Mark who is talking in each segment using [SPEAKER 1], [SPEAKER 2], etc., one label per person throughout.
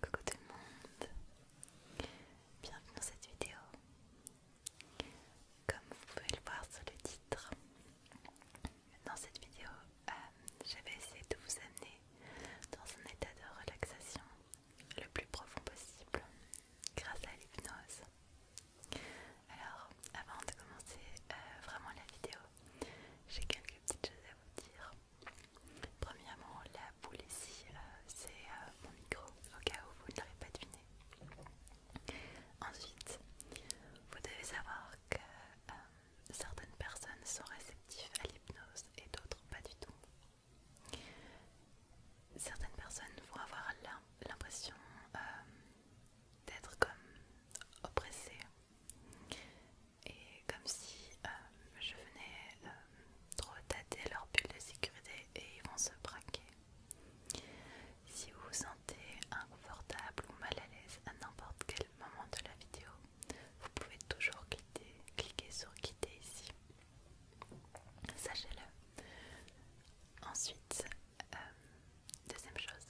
[SPEAKER 1] Coucou tout le monde, bienvenue dans cette vidéo. Comme vous pouvez le voir sur le titre, dans cette vidéo, euh, j'avais essayé de vous amener dans un état de relaxation le plus profond possible grâce à l'hypnose. Alors, avant de commencer euh, vraiment la vidéo, j'ai quelques petites choses à vous dire premièrement, la boule ici, euh, c'est euh, mon micro, au cas où vous ne l'avez pas deviné. Ensuite, vous devez savoir que euh, certaines personnes sont réceptives à l'hypnose et d'autres pas du tout. Certaines personnes vont avoir l'impression d'être comme oppressées, et comme si euh, je venais euh, trop leur bulle de sécurité et ils vont se braquer. Si vous vous sentez inconfortable ou mal à l'aise à n'importe quel moment de la vidéo, vous pouvez toujours quitter, cliquer sur quitter ici. Sachez-le. Ensuite, euh, deuxième chose,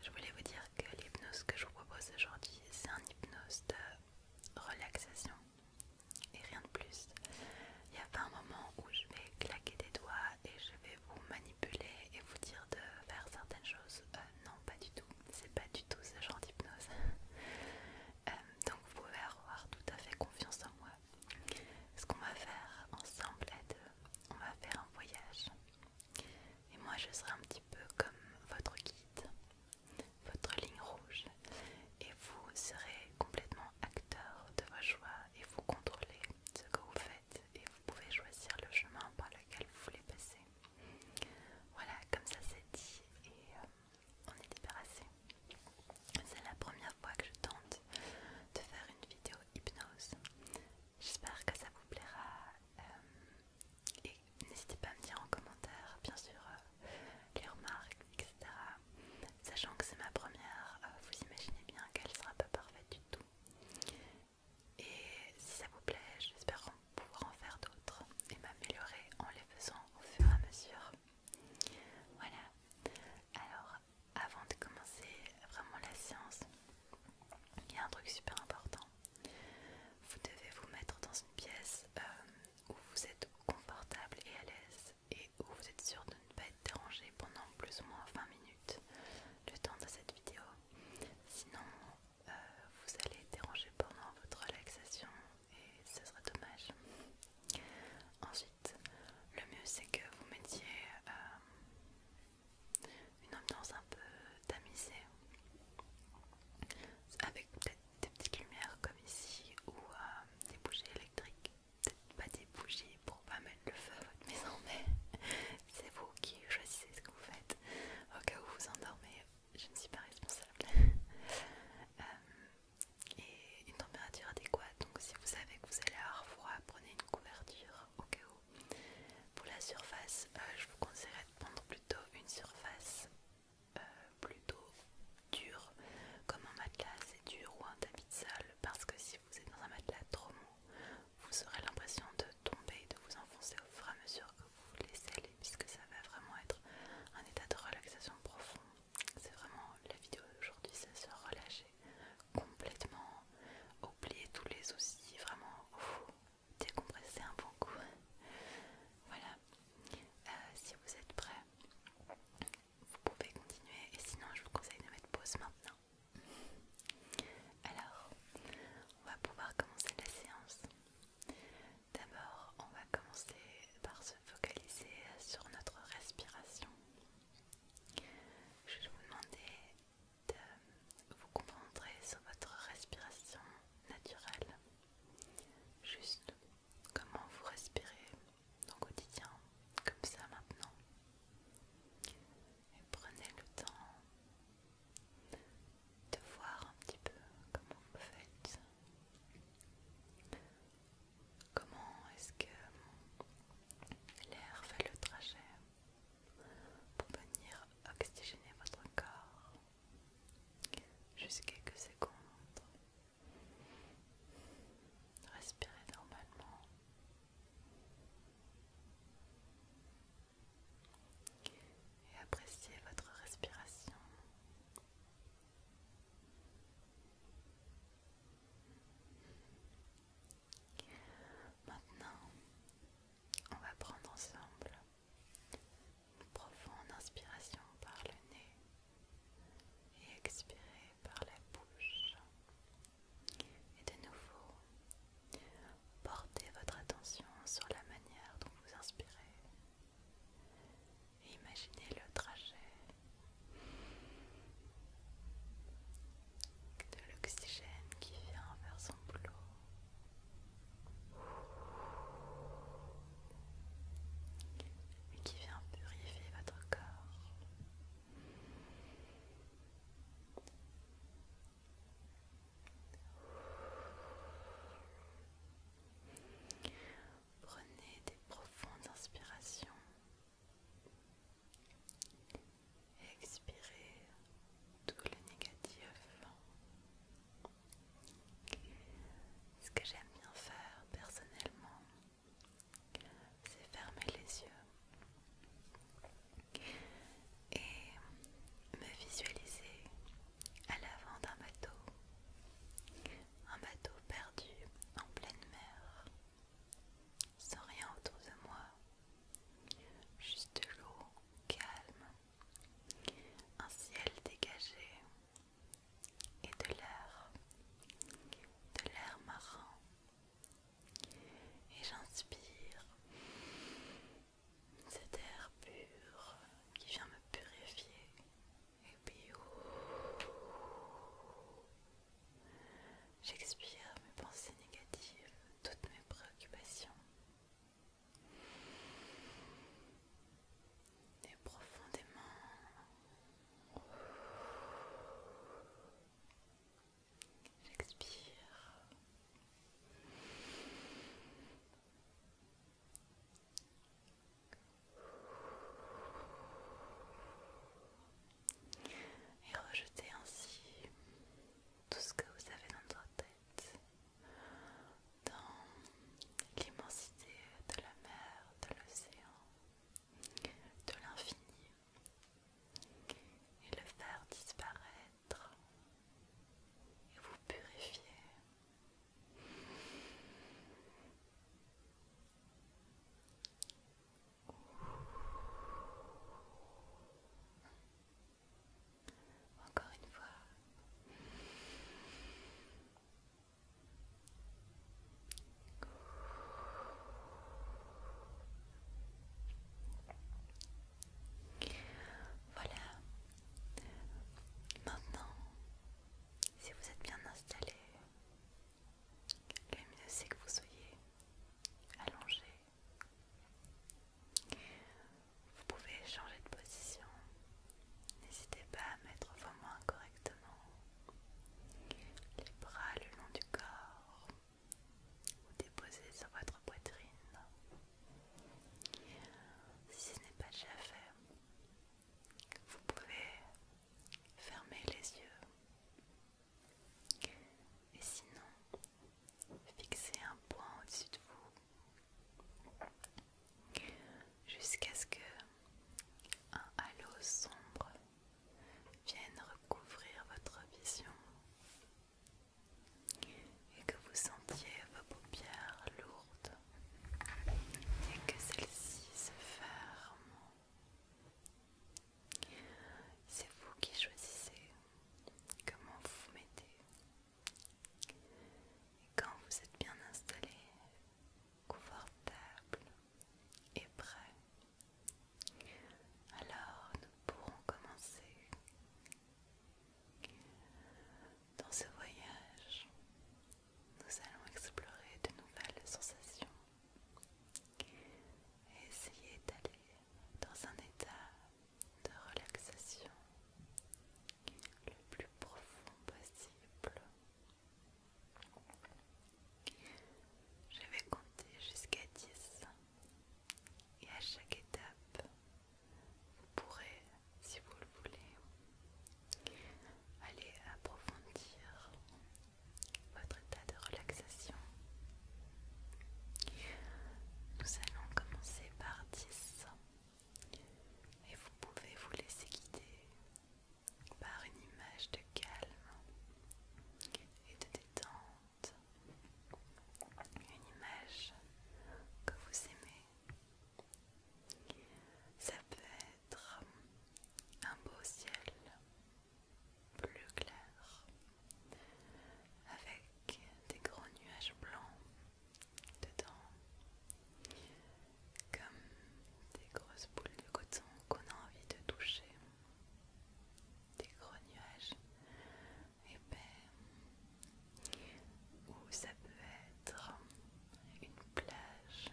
[SPEAKER 1] je voulais vous dire que l'hypnose que je vous propose aujourd'hui, c'est un hypnose de relaxation et rien de plus. Il n'y a pas un moment où je vais claquer des doigts et je vais vous manipuler et vous dire de faire certaines choses. Euh, non, pas du tout. C'est pas du tout ce genre d'hypnose. Euh, donc vous pouvez avoir tout à fait confiance en moi. Ce qu'on va faire ensemble à deux, on va faire un voyage. Et moi je serai un petit peu comme votre guide, votre ligne rouge, et vous serez complètement acteur de vos choix et vous contrôlez ce que vous faites et vous pouvez choisir le chemin par lequel vous voulez passer. Voilà, comme ça c'est dit et euh, on est débarrassé. C'est la première fois que je tente de faire une vidéo hypnose J'espère que ça vous plaira. Euh, et n'hésitez pas à me dire en commentaire, bien sûr, euh, les remarques, etc. Sachant que c'est ma première, euh, vous imaginez bien qu'elle ne sera pas parfaite du tout. Et si ça vous plaît, j'espère pouvoir en faire d'autres et m'améliorer en les faisant au fur et à mesure. Voilà. Alors, avant de commencer vraiment la séance, il y a un truc super important. Vous devez vous mettre dans une pièce euh, où vous êtes confortable et à l'aise et où vous êtes sûr de ne pas être dérangé pendant plus ou moins 20 minutes le temps de cette vidéo. Sinon, euh, vous allez déranger pendant votre relaxation et ce serait dommage. Ensuite, le mieux c'est que vous mettiez euh, une ambiance un peu tamisée avec peut-être des petites lumières comme ici ou euh, des bougies électriques peut-être pas des bougies pour pas mettre le feu à votre maison mais c'est vous qui choisissez ce que vous faites au cas où vous endormez je ne suis pas responsable euh, et une température adéquate donc si vous savez que vous allez avoir froid prenez une couverture au cas où pour la surface, euh, je vous conseillerais de prendre plutôt une surface euh, plutôt dure, comme un matelas c'est dur ou un tapis de sol, parce que si vous êtes dans un matelas trop mou, vous aurez l'impression de tomber, et de vous enfoncer au fur et à mesure que vous vous laissez aller, puisque ça va vraiment être un état de relaxation profond. C'est vraiment la vidéo d'aujourd'hui, c'est se relâcher complètement, oublier tous les soucis, vraiment décompresser un bon coup. Voilà. Euh, si vous êtes prêt, vous pouvez continuer. Et sinon, je vous conseille de mettre pause maintenant. Alors, on va pouvoir commencer la séance. D'abord, on va commencer par se focaliser sur notre respiration. Je vais vous demander de euh, vous concentrer sur votre respiration naturelle juste comment vous respirez au quotidien comme ça maintenant et prenez le temps de voir un petit peu comment vous faites comment est-ce que l'air fait le trajet pour venir oxygéner votre corps juste quelques secondes. Respirez normalement. Et appréciez votre respiration. Maintenant, on va prendre ensemble une profonde inspiration par le nez et expirer par la bouche. Et de nouveau, portez votre attention sur la manière dont vous inspirez. Et imaginez le trajet de l'oxygène qui vient vers son boulot. Et qui vient purifier votre corps. Prenez des profondes inspirations expirer tout le négatif. Ce que j'aime bien faire personnellement, c'est fermer les yeux et me visualiser à l'avant d'un bateau, un bateau perdu en pleine mer, sans rien autour de moi, Juste l'eau calme, un ciel dégagé et de l'air, de l'air marin. Et j'inspire cet air pur qui vient me purifier. Et puis J'expire mes pensées négatives, toutes mes préoccupations. Et profondément, j'expire et rejetez ainsi tout ce que vous avez dans votre tête, dans l'immensité de la mer, de l'océan, de l'infini, et le faire disparaître et vous purifier. Encore une fois. Voilà. Maintenant, si vous êtes bien installé, le mieux c'est que vous soyez allongé vous pouvez changer de position. N'hésitez pas à mettre vos mains correctement. Les bras le long du corps ou déposer sur votre poitrine. Si ce n'est pas déjà fait, vous pouvez fermer les yeux et sinon, fixez un point au-dessus de vous jusqu'à ce que un halo sombre vienne recouvrir votre vision et que vous sentiez vos paupières lourdes et que celles-ci se ferment c'est vous qui choisissez comment vous vous mettez. Et quand vous êtes bien installé, confortable et prêt, alors nous pourrons commencer dans ce voyage. Nous allons explorer de nouvelles sensations, Essayez d'aller dans un état de relaxation le plus profond possible. Je vais compter jusqu'à 10 et à chaque étape, vous pourrez, si vous le voulez, aller approfondir votre état de relaxation. Nous allons commencer par 10 et vous pouvez vous laisser guider par une image de calme et de détente, une image que vous aimez. Ça peut être un beau ciel plus clair avec des gros nuages blancs dedans comme des grosses boules de coton qu'on a envie de toucher des gros nuages épais où ça peut être une plage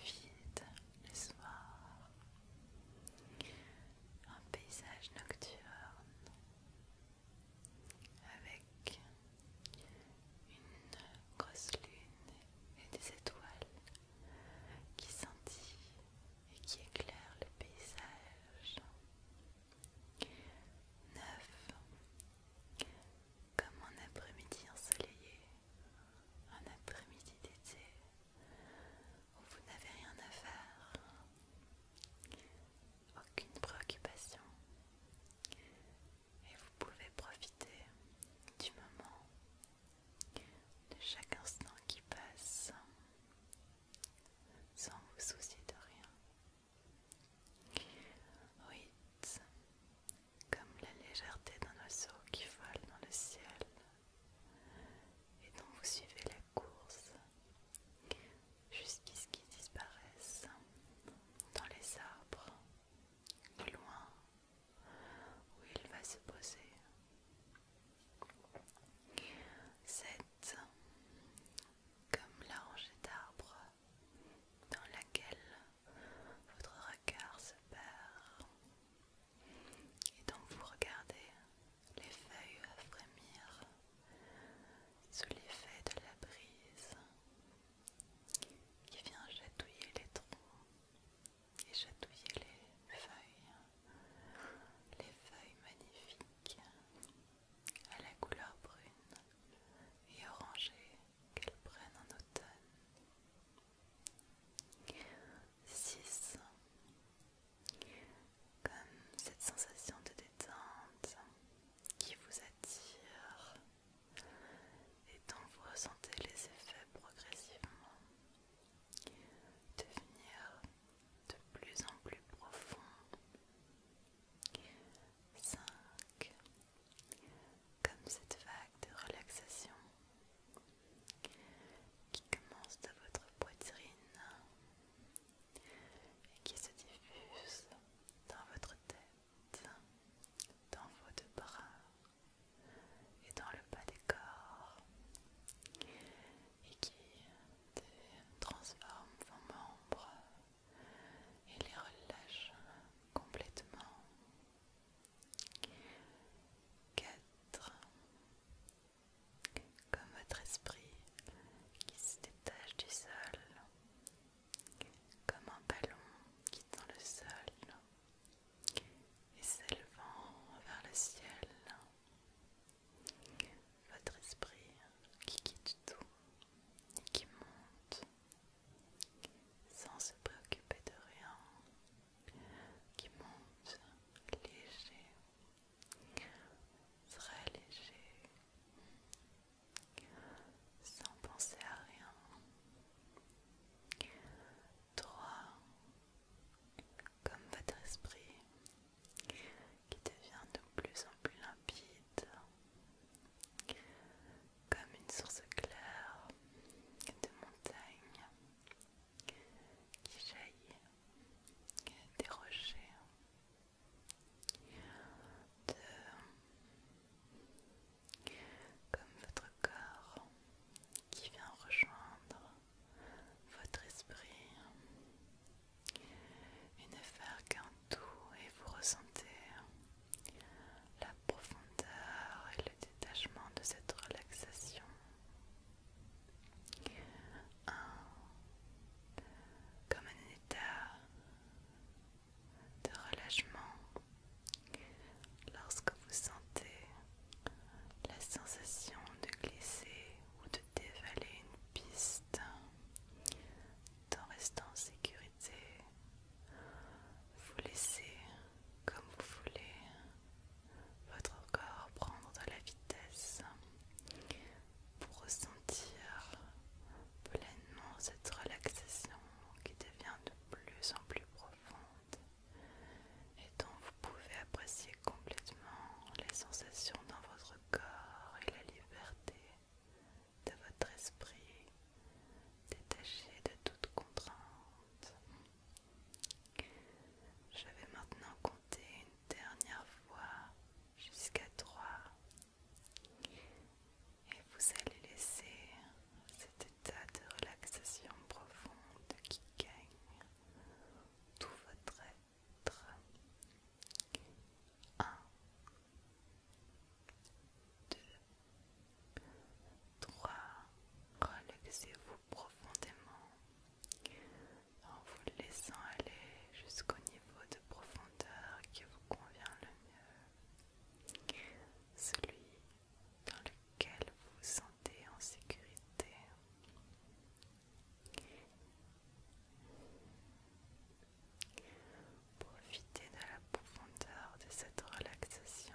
[SPEAKER 1] vide le soir, un paysage nocturne avec une grosse lune et des étoiles qui scintillent et qui éclairent le paysage. Neuf, comme un après-midi ensoleillé, un après-midi d'été où vous n'avez rien à faire, aucune préoccupation, et vous pouvez profiter du moment, de chaque instant qui passe, sans vous soucier de rien. Oui, comme la légèreté d'un oiseau qui vole dans le ciel et donc vous suivez la course jusqu'à ce qu'ils disparaissent dans les arbres, loin où il va se poser. Cette, comme la rangée d'arbres dans laquelle votre regard se perd et donc vous regardez les feuilles frémir sous l'effet de la brise qui vient chatouiller les troncs et chatouiller les feuilles, les feuilles magnifiques à la couleur brune et orangée qu'elles prennent en automne. 6 comme cette sensation de détente qui vous attire et dont vous ressentez les effets progressivement devenir de plus en plus profond 5 comme cette vague de relaxation qui commence de votre poitrine et qui se diffuse dans votre tête, dans vos deux bras et dans le bas des corps et qui transforme vos membres et les relâche complètement. Quatre, Comme votre esprit qui se détache du sol, comme un ballon quittant le sol et s'élevant vers le ciel. Votre esprit qui quitte tout et qui monte sans se préoccuper de rien qui monte léger, très léger, sans penser à rien, droit comme votre esprit qui devient de plus en plus limpide comme une source claire de montagne qui jaillit des rochers, de, comme votre corps qui vient rejoindre votre esprit et ne faire qu'un tout et vous ressentez la profondeur et le détachement de cette relaxation. Comme un état de relâchement lorsque vous sentez la sensation de glisser ou de dévaler une piste en restant en sécurité vous laissez comme vous voulez votre corps prendre de la vitesse pour ressentir pleinement cette relaxation qui devient de plus en plus profonde et dont vous pouvez apprécier complètement les sensations dans votre corps et la liberté de votre esprit détaché de toute contrainte. Je vais maintenant compter une dernière fois jusqu'à 3 et vous allez laisser cet état de relaxation profonde qui gagne tout votre être. 1 2 3. Relaxez-vous profondément en vous laissant aller jusqu'au niveau de profondeur qui vous convient le mieux, celui dans lequel vous vous sentez en sécurité. Profitez de la profondeur de cette relaxation.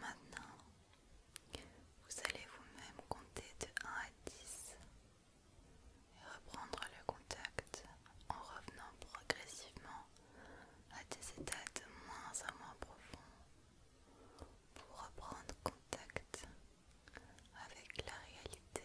[SPEAKER 1] Maintenant, vous allez vous-même compter de 1 à 10 et reprendre le contact en revenant progressivement à des états de moins en moins profonds pour reprendre contact avec la réalité.